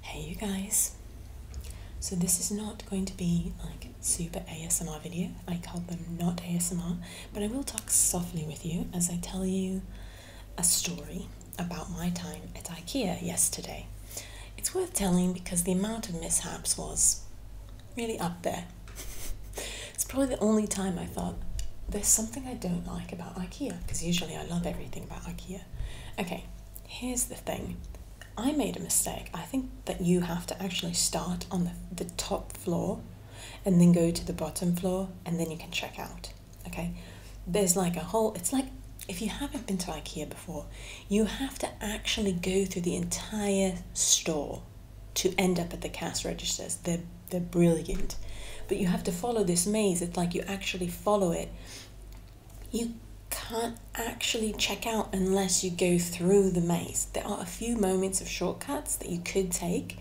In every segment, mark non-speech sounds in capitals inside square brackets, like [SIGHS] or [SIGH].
Hey you guys! So this is not going to be like super ASMR video. I called them not ASMR, but I will talk softly with you as I tell you a story about my time at IKEA yesterday. It's worth telling because the amount of mishaps was really up there. [LAUGHS] it's probably the only time I thought there's something I don't like about IKEA because usually I love everything about IKEA. Okay, here's the thing I made a mistake. I think that you have to actually start on the, the top floor and then go to the bottom floor and then you can check out. Okay, there's like a whole, it's like if you haven't been to IKEA before, you have to actually go through the entire store to end up at the cash registers. They're, they're brilliant. But you have to follow this maze. It's like you actually follow it you can't actually check out unless you go through the maze. There are a few moments of shortcuts that you could take,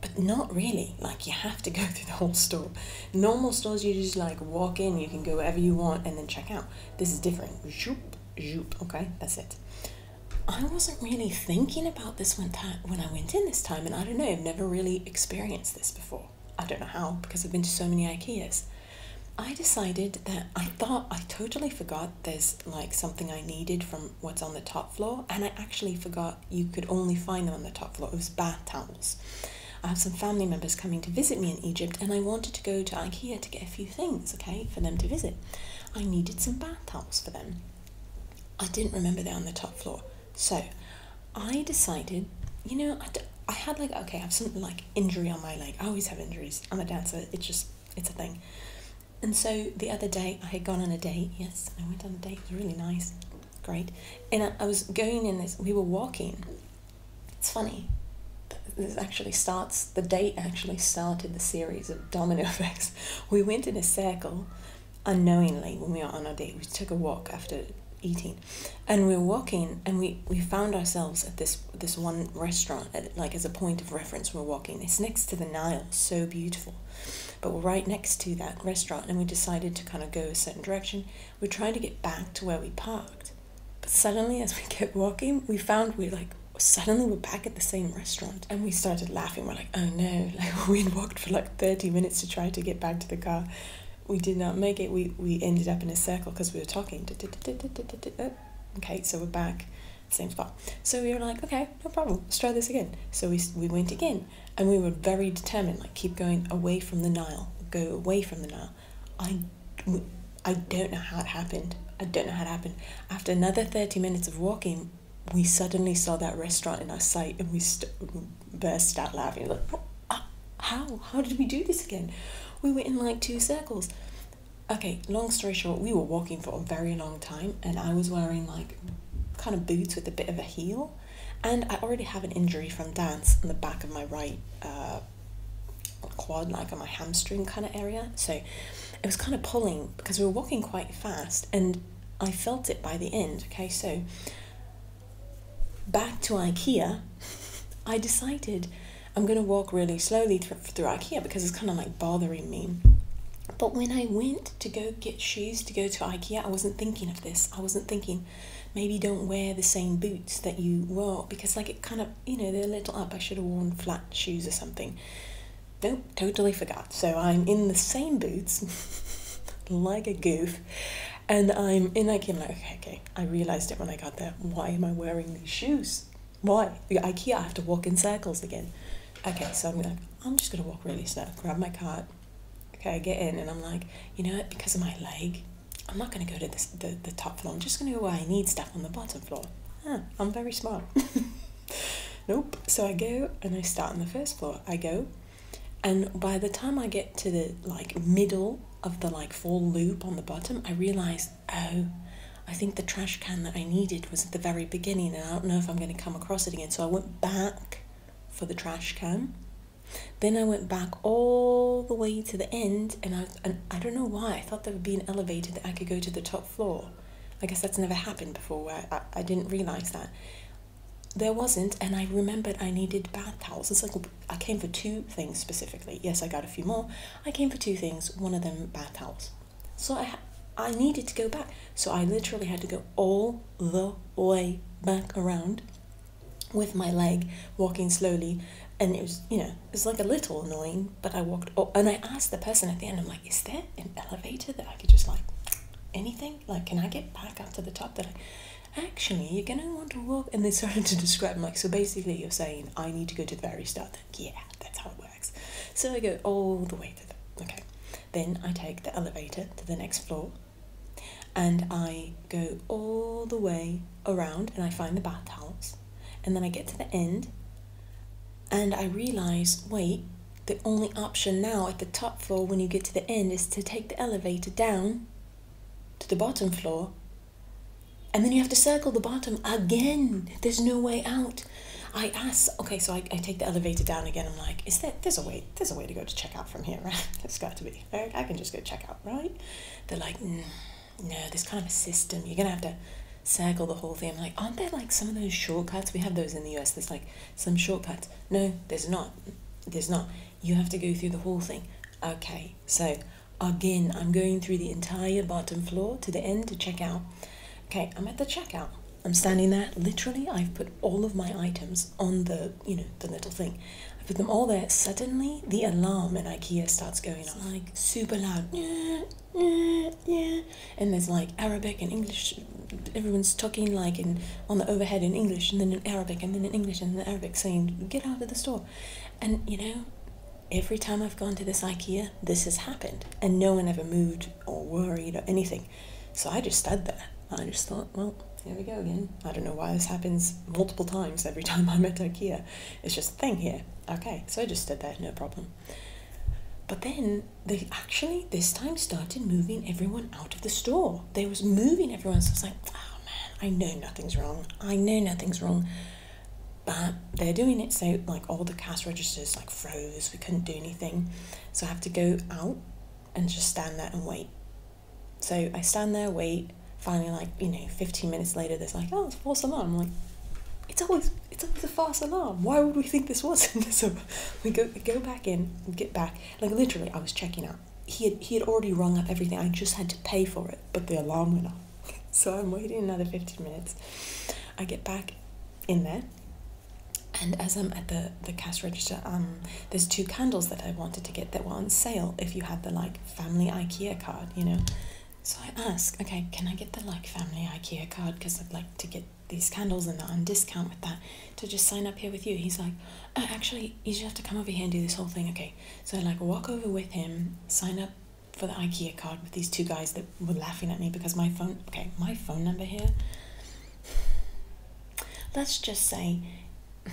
but not really. Like you have to go [LAUGHS] through the whole store. Normal stores, you just like walk in, you can go wherever you want and then check out. This is different. Zoop, zoop. Okay, that's it. I wasn't really thinking about this one time when I went in this time, and I don't know, I've never really experienced this before. I don't know how because I've been to so many IKEAs. I decided that I thought I totally forgot there's like something I needed from what's on the top floor, and I actually forgot you could only find them on the top floor. It was bath towels. I have some family members coming to visit me in Egypt, and I wanted to go to IKEA to get a few things, okay, for them to visit. I needed some bath towels for them. I didn't remember they're on the top floor. So I decided, you know, I, had like, okay, I have some like injury on my leg. I always have injuries. I'm a dancer. It's just, it's a thing. And so the other day I had gone on a date. Yes, I went on a date. It was really nice. Great. And I was going in this, we were walking. It's funny. This actually starts, the date actually started the series of domino [LAUGHS] effects. We went in a circle unknowingly when we were on our date. We took a walk after eating, and we were walking, and we, we found ourselves at this this one restaurant, like as a point of reference. We're walking. It's next to the Nile, so beautiful, but we're right next to that restaurant, and we decided to kind of go a certain direction. We're trying to get back to where we parked, but suddenly, as we [LAUGHS] kept walking, we found we like suddenly we're back at the same restaurant and we started laughing we're like oh no [LAUGHS] like we walked for like 30 minutes to try to get back to the car. We did not make it. We, we ended up in a circle because we were talking. Okay, so we're back, same spot. So we were like, okay, no problem. Let's try this again. So we, we went again and we were very determined, like keep going away from the Nile, go away from the Nile. I, I don't know how it happened. I don't know how it happened. After another 30 minutes of walking, we suddenly saw that restaurant in our sight and we burst out laughing like uh, how how did we do this again we were in like two circles okay long story short we were walking for a very long time and i was wearing like kind of boots with a bit of a heel and i already have an injury from dance in the back of my right uh, quad like on my hamstring kind of area so it was kind of pulling because we were walking quite fast and I felt it by the end. Okay, so back to IKEA, I decided I'm going to walk really slowly through, through IKEA because it's kind of like bothering me. But when I went to go get shoes to go to IKEA, I wasn't thinking of this. I wasn't thinking maybe don't wear the same boots that you wore because like it kind of you know they're a little up. I should have worn flat shoes or something. Nope, totally forgot. So I'm in the same boots, [LAUGHS] like a goof, and I'm in IKEA. I'm like, okay, I realized it when I got there. Why am I wearing these shoes? Why? IKEA, I have to walk in circles again. Okay, so I'm like, I'm just gonna walk really slow. Grab my cart. Okay, I get in, and I'm like, you know what? Because of my leg, I'm not gonna go to the the top floor. I'm just gonna go where I need stuff on the bottom floor. I'm very smart. [LAUGHS] nope. So I go and I start on the first floor. I go, and by the time I get to the like middle of the like full loop on the bottom, I realize, oh, I think the trash can that I needed was at the very beginning, and I don't know if I'm going to come across it again. So I went back for the trash can. Then I went back all the way to the end, and I, and I don't know why. I thought there would be an elevator that I could go to the top floor. I guess that's never happened before I, I didn't realize that. There wasn't, and I remembered I needed bath towels. It's like I came for two things specifically. Yes, I got a few more. I came for two things, one of them bath towels. So I, I needed to go back. So I literally had to go all the way back around with my leg, walking slowly. And it was, you know, it like a little annoying, but I walked. All, oh, and I asked the person at the end, I'm is there an elevator that I could just like anything? Like, can I get back up to the top? That I actually, you're gonna want to walk. And they [LAUGHS] started to describe, like, so basically, you're saying I need to go to the very start. Like, yeah, that's how it works. So I go all the way to the okay. Then I take the elevator to the next floor, and I go all the way around, and I find the bath towels, and then I get to the end. And I realize, wait, the only option now at the top floor when you get to the end is to take the elevator down to the bottom floor. And then you have to circle the bottom again. There's no way out. I ask, okay, so I, take the elevator down again. I'm like, is there, there's a way, there's a way to go to check out from here, [LAUGHS] right? it has got to be. Right? I can just go check out, right? They're like, mm, no, this kind of a system. You're going to have to Cycle the whole thing. I'm like, aren't there like some of those shortcuts? We have those in the US. There's like some shortcuts. No, there's not. There's not. You have to go through the whole thing. Okay, so again, I'm going through the entire bottom floor to the end to check out. Okay, I'm at the checkout. I'm standing there. Literally, I've put all of my items on the, you know, the little thing. I put them all there. Suddenly, the alarm in IKEA starts going off, like super loud yeah, And there's like Arabic and English. Everyone's talking like in on the overhead in English, and then in Arabic, and then in English, and then Arabic, saying "Get out of the store." And you know, every time I've gone to this IKEA, this has happened, and no one ever moved or worried or anything. So I just stood there. I just thought, well, here we go again. I don't know why this happens multiple times every [LAUGHS] time I'm at IKEA. It's just a thing here. Okay, so I just stood there, no problem. But then they actually this time started moving everyone out of the store. They was moving everyone. So I was like, oh man, I know nothing's wrong. I know nothing's wrong. But they're doing it so like all the cash registers like froze. We couldn't do anything. So I have to go out and just stand there and wait. So I stand there, wait. Finally, like you know, fifteen minutes later, they're like, oh, it's four someone. I'm like, it's always it's under the false alarm. Why would we think this wasn't? [LAUGHS] so we go go back in, get back. Like literally, I was checking out. He had he had already rung up everything. I just had to pay for it, but the alarm went off. [LAUGHS] so I'm waiting another fifteen minutes. I get back in there, and as I'm at the the cash register, um, there's two candles that I wanted to get that were on sale if you had the like family IKEA card, you know. So I ask, okay, can I get the like family IKEA card because I'd like to get these candles and that are on discount with that to just sign up here with you. He's like, oh, actually, you just have to come over here and do this whole thing. Okay, so I like walk over with him, sign up for the IKEA card with these two guys that were laughing at me because my phone, okay, my phone number here. Let's just say, [LAUGHS]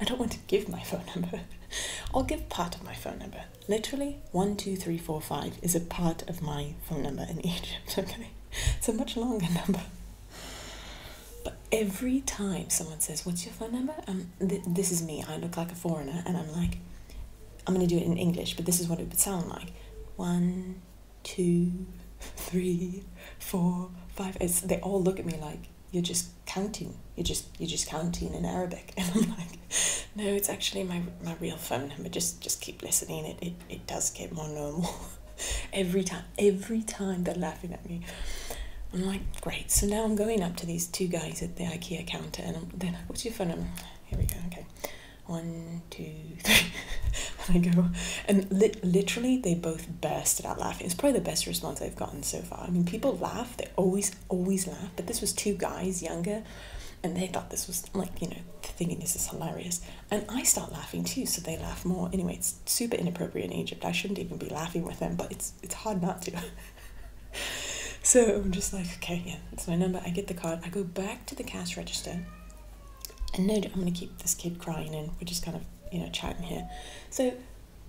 I don't want to give my phone number. [LAUGHS] I'll give part of my phone number literally one two three four five is a part of my phone number in [LAUGHS] Egypt. Okay, it's a much longer number. But every time someone says, "What's your phone number?" Um, this is me. I look like a foreigner, and I'm like, I'm gonna do it in English, but this is what it would sound like: one, two, [LAUGHS] three, four, five. It's, they all look at me like you're just counting. You're just you're just counting in Arabic, [LAUGHS] and I'm like no, it's actually my my real phone number. Just just keep listening. It it, it does get more normal [LAUGHS] every time. Every time they're laughing at me. I'm like, great. So now I'm going up to these two guys at the IKEA counter, and i they're like, "What's your phone number?" Here we go. Okay, one, two, [LAUGHS] three. and I go, and li literally they both bursted out laughing. It's probably the best response I've gotten so far. I mean, people laugh. They always always laugh. But this was two guys younger and they thought this was like you know thinking this is hilarious and i start laughing too so they laugh more anyway it's super inappropriate in egypt i shouldn't even be laughing with them but it's it's hard not to [LAUGHS] so i'm just like okay yeah it's my number i get the card i go back to the cash register and no i'm going to keep this kid crying and we're just kind of you know chatting here so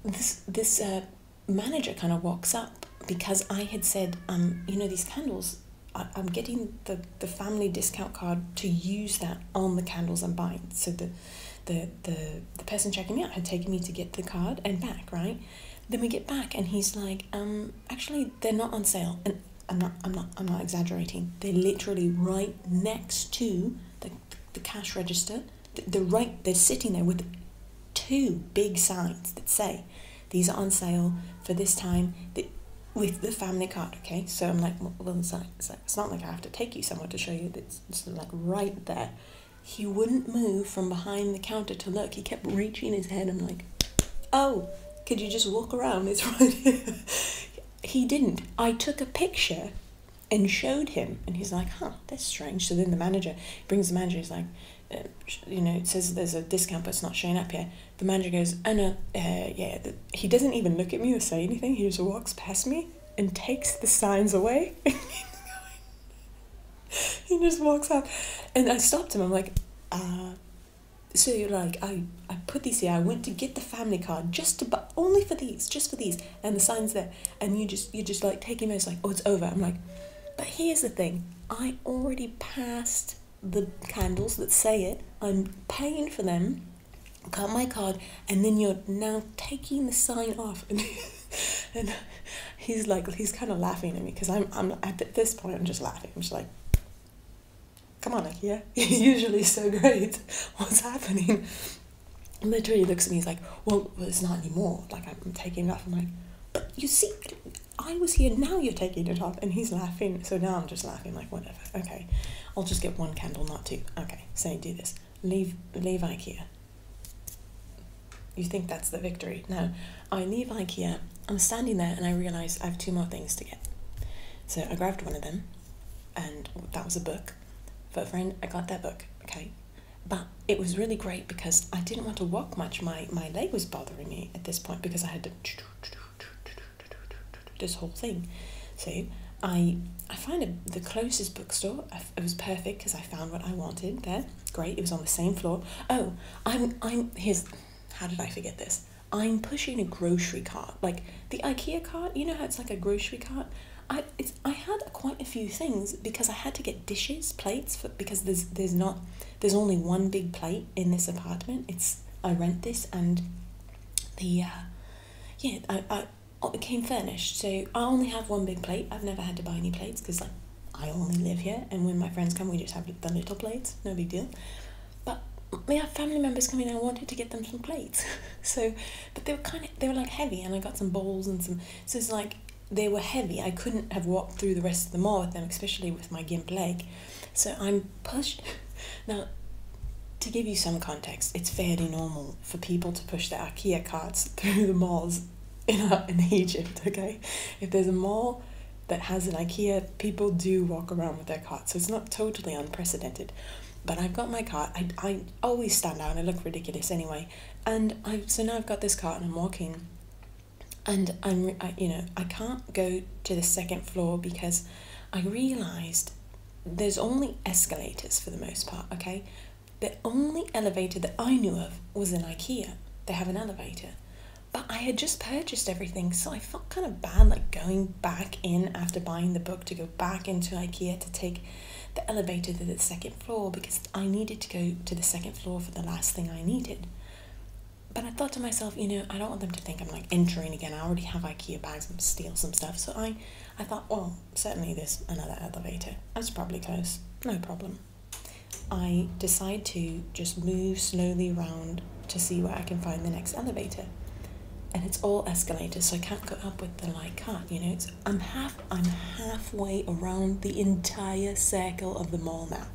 this this uh, manager kind of walks up because I had said, um, you know, these candles, I, am getting the, the family discount card to use that on the candles I'm buying. So the, the, the, the person checking me out had taken me to get the card and back, right? Then we get back and he's like, um, actually, they're not on sale. And I'm not, I'm not, I'm not exaggerating. They're literally right next to the, the cash register. They're right, they're sitting there with two big signs that say these are on sale for this time that, with the family card, okay? So I'm like, well, it's, not like I have to take you somewhere to show you, it's, it's like right there. He wouldn't move from behind the counter to look. He kept reaching his head. I'm like, oh, could you just walk around? It's right [LAUGHS] here. he didn't. I took a picture and showed him, and he's like, huh, that's strange. So then the manager brings the manager, he's like, uh, you know, it says there's a discount, but it's not showing up here. The manager goes, oh uh, no, yeah, he doesn't even look at me or say anything. He just walks past me and takes the signs away. [LAUGHS] he just walks up. And I stopped him. I'm like, uh, so you're like, I, I put these here. I went to get the family card just to, but only for these, just for these. And the sign's there. And you just, you just like take taking those like, oh, it's over. I'm like, but here's the thing I already passed the candles that say it, I'm paying for them, cut my card, and then you're now taking the sign off. [LAUGHS] And, he's like, he's kind of laughing at me because I'm, I'm at this point, I'm just laughing. I'm just like, come on, Ikea, [LAUGHS] you're usually so great. [LAUGHS] What's happening? literally looks at me, he's like, well, it's not anymore. Like, I'm taking it off. I'm like, but you see, I was here, now you're taking it off. And he's laughing, so now I'm just laughing, like, whatever, okay. I'll just get one candle, not two. Okay, say so do this. Leave, leave IKEA. You think that's the victory. No, I leave IKEA. I'm standing there and I realize I have two more things to get. So I grabbed one of them, and that was a book. For a friend, I got that book, okay? But it was really great because I didn't want to walk much. My my leg was bothering me at this point because I had to this whole thing. So I I find the closest bookstore. It was perfect because I found what I wanted there. Great, it was on the same floor. Oh, I'm I'm here's how did I forget this? I'm pushing a grocery cart, like the IKEA cart. You know how it's like a grocery cart. I I had quite a few things because I had to get dishes, plates, for, because there's there's not there's only one big plate in this apartment. It's I rent this and the uh, yeah I, I oh, it came furnished, so I only have one big plate. I've never had to buy any plates because like I only live here, and when my friends come, we just have the little plates, no big deal. But we have family members coming, and I wanted to get them some plates, [LAUGHS] so but they were kind of they were like heavy, and I got some bowls and some. So it's like they were heavy. I couldn't have walked through the rest of the mall with them, especially with my gimp leg. So I'm pushed. [LAUGHS] Now, to give you some context, it's fairly normal for people to push their IKEA carts through the malls [LAUGHS] in, uh, in Egypt, okay? If there's a mall that has an IKEA, people do walk around with their cart, so it's not totally unprecedented. But I've got my cart, I, I always stand out, I look ridiculous anyway. And I so now I've got this cart and I'm walking, and I'm you know I can't go to the second floor because I realised there's only escalators for the most part. Okay, the only elevator that I knew of was in IKEA. They have an elevator. But I had just purchased everything, so I felt kind of bad like going back in after buying the book to go back into IKEA to take the elevator to the second floor because I needed to go to the second floor for the last thing I needed. But I thought to myself, you know, I don't want them to think I'm like entering again. I already have IKEA bags and steal some stuff. So I, I thought, well, certainly there's another elevator. That's probably close. No problem. I decide to just move slowly around to see where I can find the next elevator. And it's all escalators, so I can't go up with the light cart, you know, it's I'm half I'm halfway around the entire circle of the mall now.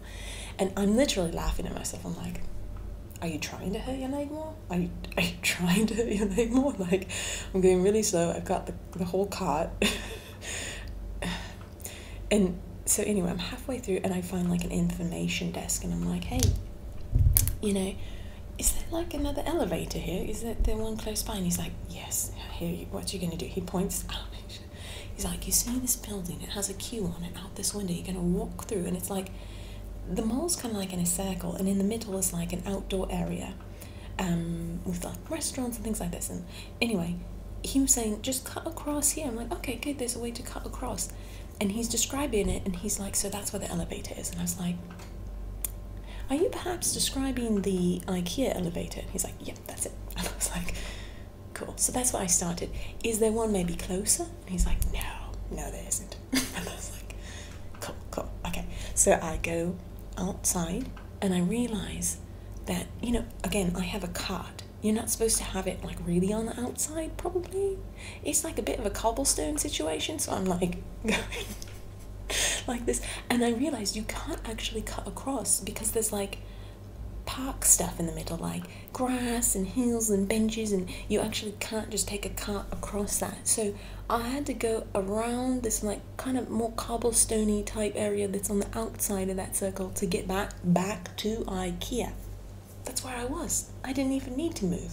And I'm literally laughing at myself. I'm like, are you trying to hurt your leg more? Are you, [LAUGHS] are you trying to hurt your leg more? Like, I'm going really slow. I've got the, the whole cart. [SIGHS] and so, anyway, I'm halfway through and I find like an information desk and I'm like, hey, you know, is there like another elevator here? Is that the one close by? And he's like, yes, I What are you going to do? He points out. He's like, you see this building? It has a queue on it out this window. You're going to walk through. And it's like, the mall's kind of like in a circle. And in the middle is like an outdoor area um, with like restaurants and things like this. And anyway, he was saying, just cut across here. I'm like, okay, good. There's a way to cut across. And he's describing it. And he's like, so that's where the elevator is. And I was like, are you perhaps describing the IKEA elevator? He's like, Yep, that's it. [LAUGHS] I was like, Cool. So that's where I started. Is there one maybe closer? he's like, No, no, there isn't. [LAUGHS] I was like, Cool, cool. Okay. So I go outside and I realize that, you know, again, I have a card. You're not supposed to have it like really on the outside, probably. It's like a bit of a cobblestone situation, so I'm like [LAUGHS] going [LAUGHS] like this and i realized you can't actually cut across because there's like park stuff in the middle like grass and hills and benches and you actually can't just take a cart across that so i had to go around this like kind of more cobblestony type area that's on the outside of that circle to get back back to ikea that's where i was i didn't even need to move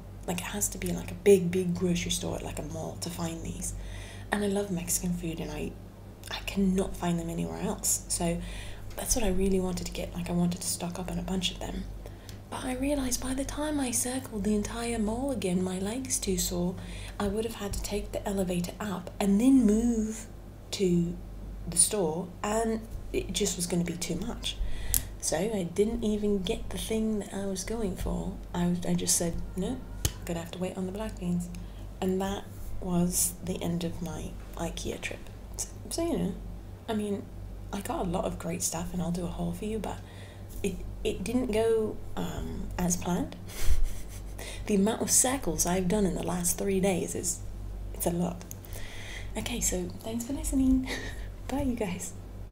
Like it has to be like a big, big grocery store at like a mall to find these. And I love Mexican food and I I cannot find them anywhere else. So that's what I really wanted to get. Like I wanted to stock up on a bunch of them. But I realized by the time I circled the entire mall again, my legs too sore. I would have had to take the elevator up and then move to the store and it just was going to be too much. So I didn't even get the thing that I was going for. I, I just said, no, gonna have to wait on the black beans. And that was the end of my IKEA trip. So, you know, I mean, I got a lot of great stuff and I'll do a haul for you, but it, it didn't go um, as planned. [LAUGHS] the amount of circles I've done in the last three days is it's a lot. Okay, so thanks for listening. [LAUGHS] Bye, you guys.